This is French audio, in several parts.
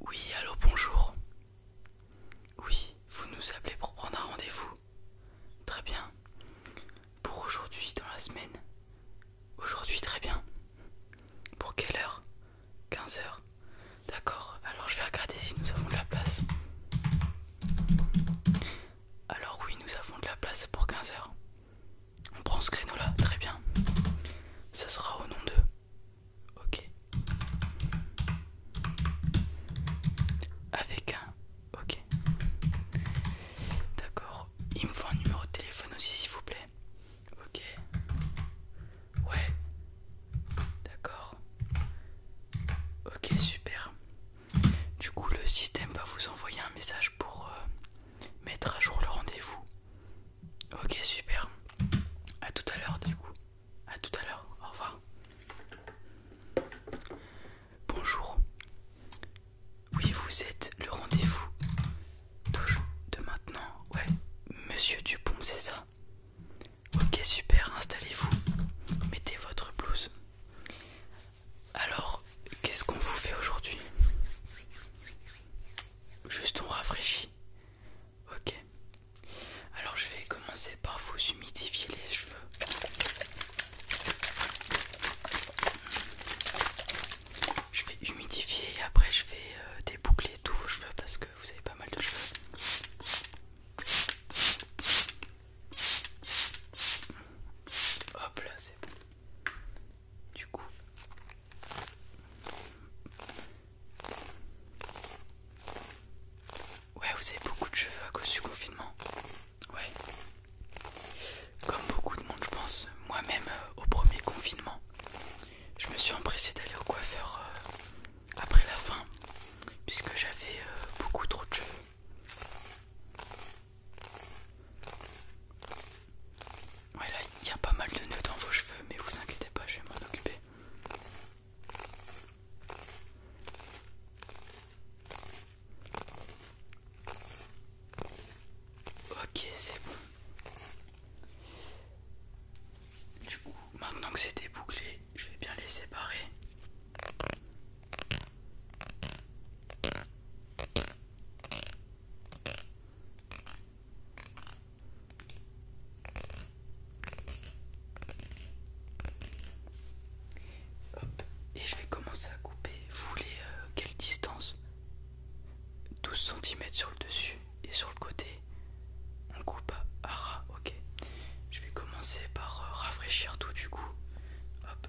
Oui, allô, bonjour. Oui, vous nous appelez pour prendre un rendez-vous. Très bien. Pour aujourd'hui, dans la semaine. Aujourd'hui, très bien. Pour quelle heure 15 heures. D'accord, alors je vais regarder si nous avons de la place. Alors oui, nous avons de la place pour 15 heures. On prend ce créneau là, très bien. Ça sera au nom de. Ok. Avec un. Ok. D'accord. Il me faut un numéro de téléphone aussi, s'il vous plaît. Ok. Ouais. D'accord. Ok, super. Du coup, le système va vous envoyer un message pour euh, mettre à jour le rendez-vous. Ok, super. À tout à l'heure, du coup. À tout à l'heure. Au revoir. Bonjour. Oui, vous êtes le rendez-vous de maintenant. Ouais, Monsieur Dupont, c'est ça. Ok, super. Installez-vous. Mettez votre blouse. Alors, qu'est-ce qu'on vous fait aujourd'hui Juste on rafraîchit. Ok. Alors je vais commencer par vous humidifier les cheveux. Je vais humidifier et après je vais euh, déboucler tous vos cheveux parce que vous avez pas mal de cheveux. Hop là, c'est bon. Du coup, ouais, vous avez beaucoup de cheveux à cause du confinement. Ouais, comme beaucoup de monde, je pense. Moi-même, euh, au premier confinement, je me suis empressé d'aller au coiffeur euh, après la fin, puisque j'avais euh, beaucoup trop de cheveux. Ouais, là il y a pas mal de nœuds dans vos cheveux, mais vous inquiétez pas, je vais m'en occuper. Ok, c'est bon. Du coup, maintenant que c'est débouclé, je vais bien les séparer et je vais commencer à couper. Vous voulez euh, quelle distance 12 cm sur le dessus et sur le côté. On coupe à ras, ok. Je vais commencer par euh, rafraîchir tout du coup. Hop.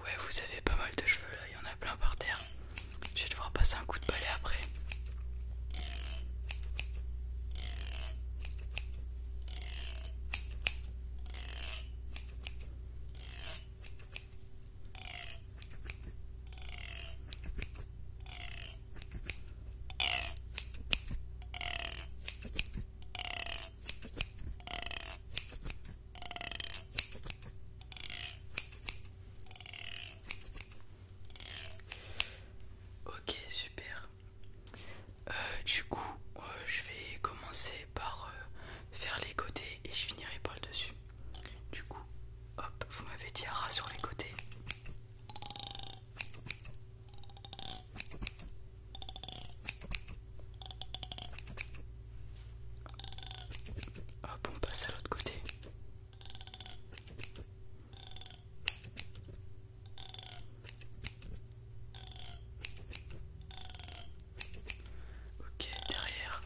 Ouais, vous avez pas mal de cheveux là, il y en a plein par terre. Je vais devoir passer un coup de balai après. Ok, super. Euh, du coup, euh, je vais commencer par euh, faire les côtés et je finirai par le dessus. Du coup, hop, vous m'avez dit à ras sur les côtés. Ah on passe à l'autre côté. Ok, derrière.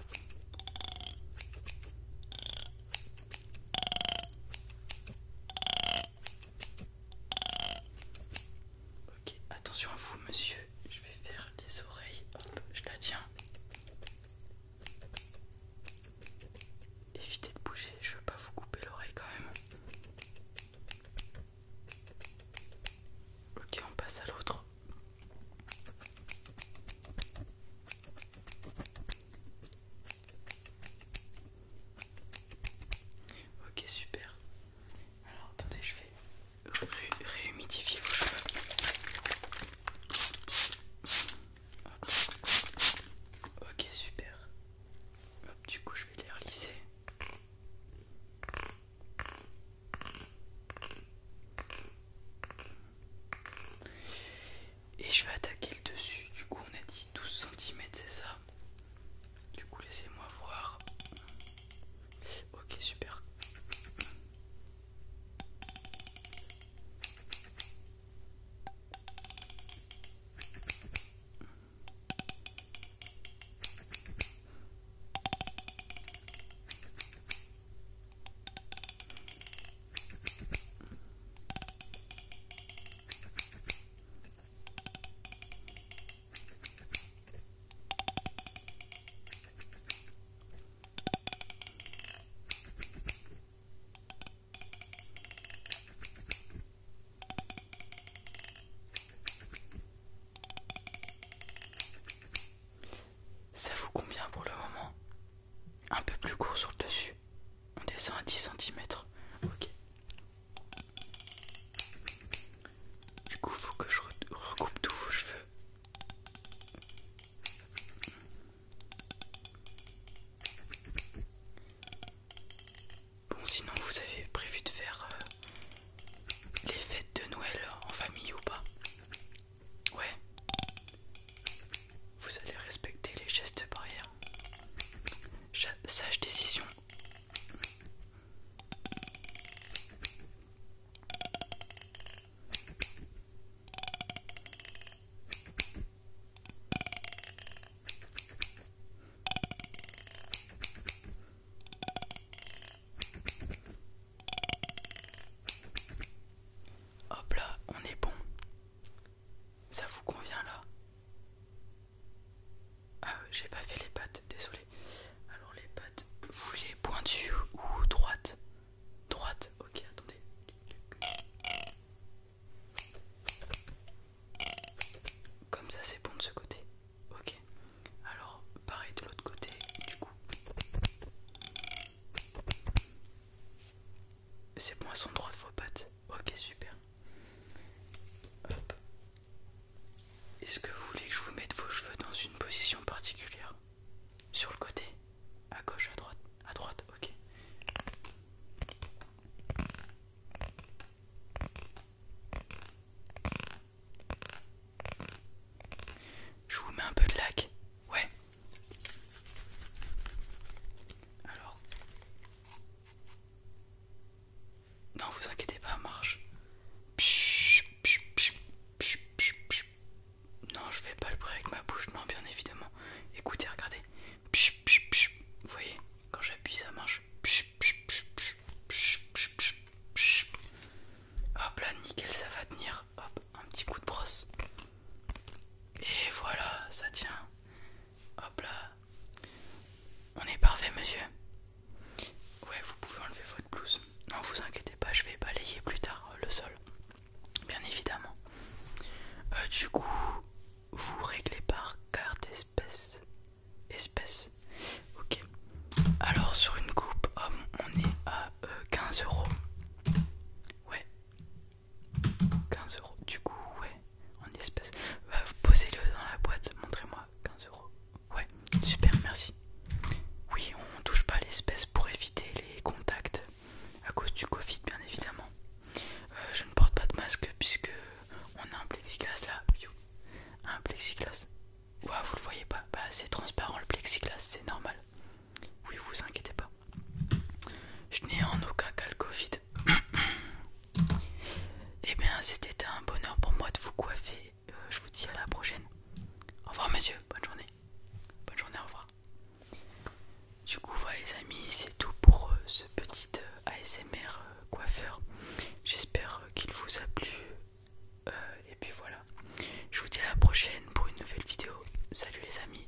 Ok, attention à vous, monsieur. Je vais faire les oreilles. Hop, je la tiens. Évitez de bouger, je veux pas vous couper l'oreille quand même. Ok, on passe à l'autre. Ok, super. Alors attendez, je vais Réhumidifiez vos cheveux. Ok, super. du coup, je vais les relisser. Et je vais attaquer le dessus. Du coup, on a dit 12 cm, c'est ça du coup, laissez-moi voir. Ok, super. Ça vous convient pour le moment Un peu plus court sur le dessus. On descend à 10 cm. Ok. Du coup, faut que je recoupe tous vos cheveux. Bon, sinon, vous avez prévu de faire euh, les fêtes de Noël en famille ou pas Ouais. Vous allez respecter les gestes barrières. Sage décision. Hop là, on est bon. Ça vous convient là ah, euh, j'ai pas fait les pattes, désolé. Alors les pattes, vous les pointues ou droites Droite, ok, attendez. Comme ça, c'est bon de ce côté. Ok. Alors, pareil de l'autre côté, du coup. C'est bon, sont droites vos pattes. Ok, super. Est-ce que vous voulez que je vous mette vos cheveux dans une position particulière Sur le côté À gauche, à droite À droite, ok. Je vous mets un peu de lac. Ouais. Alors. Non, vous inquiétez pas, marche. Non, je vais pas le bruit avec ma bouche, non, bien évidemment. Écoutez, regardez. Vous voyez, quand j'appuie, ça marche. Hop là, nickel, ça va tenir. Hop, un petit coup de brosse. Et voilà, ça tient. Hop là, on est parfait, monsieur. Ouais, vous pouvez enlever votre blouse. Non, vous inquiétez pas, je vais balayer plus tard euh, le sol. Bien évidemment. Euh, du coup, vous réglez par carte espèce. Espèce. Ok. Alors, sur une coupe, on est à 15 euh, euros. Ouais. 15 euros. Du coup, ouais, en espèces. Bah, Posez-le dans la boîte, montrez-moi. 15 euros. Ouais, super, merci. Oui, on touche pas l'espèce pour éviter les contacts à cause du Covid, bien évidemment. Euh, je ne porte pas de masque puisque on a un plexiglas là. Un plexiglas. vous le voyez pas. Bah, c'est transparent le plexiglas, c'est normal. Oui, vous inquiétez pas. Je n'ai en aucun cas le Covid. Eh bien, c'était un bonheur pour moi de vous coiffer. Euh, je vous dis à la prochaine. Au revoir, monsieur. Bonne journée. Bonne journée, au revoir. Du coup, voilà, les amis, c'est tout pour euh, ce petit euh, ASMR coiffeur. J'espère qu'il vous a plu. et puis voilà. Je vous dis à la prochaine pour une nouvelle vidéo. Salut, les amis.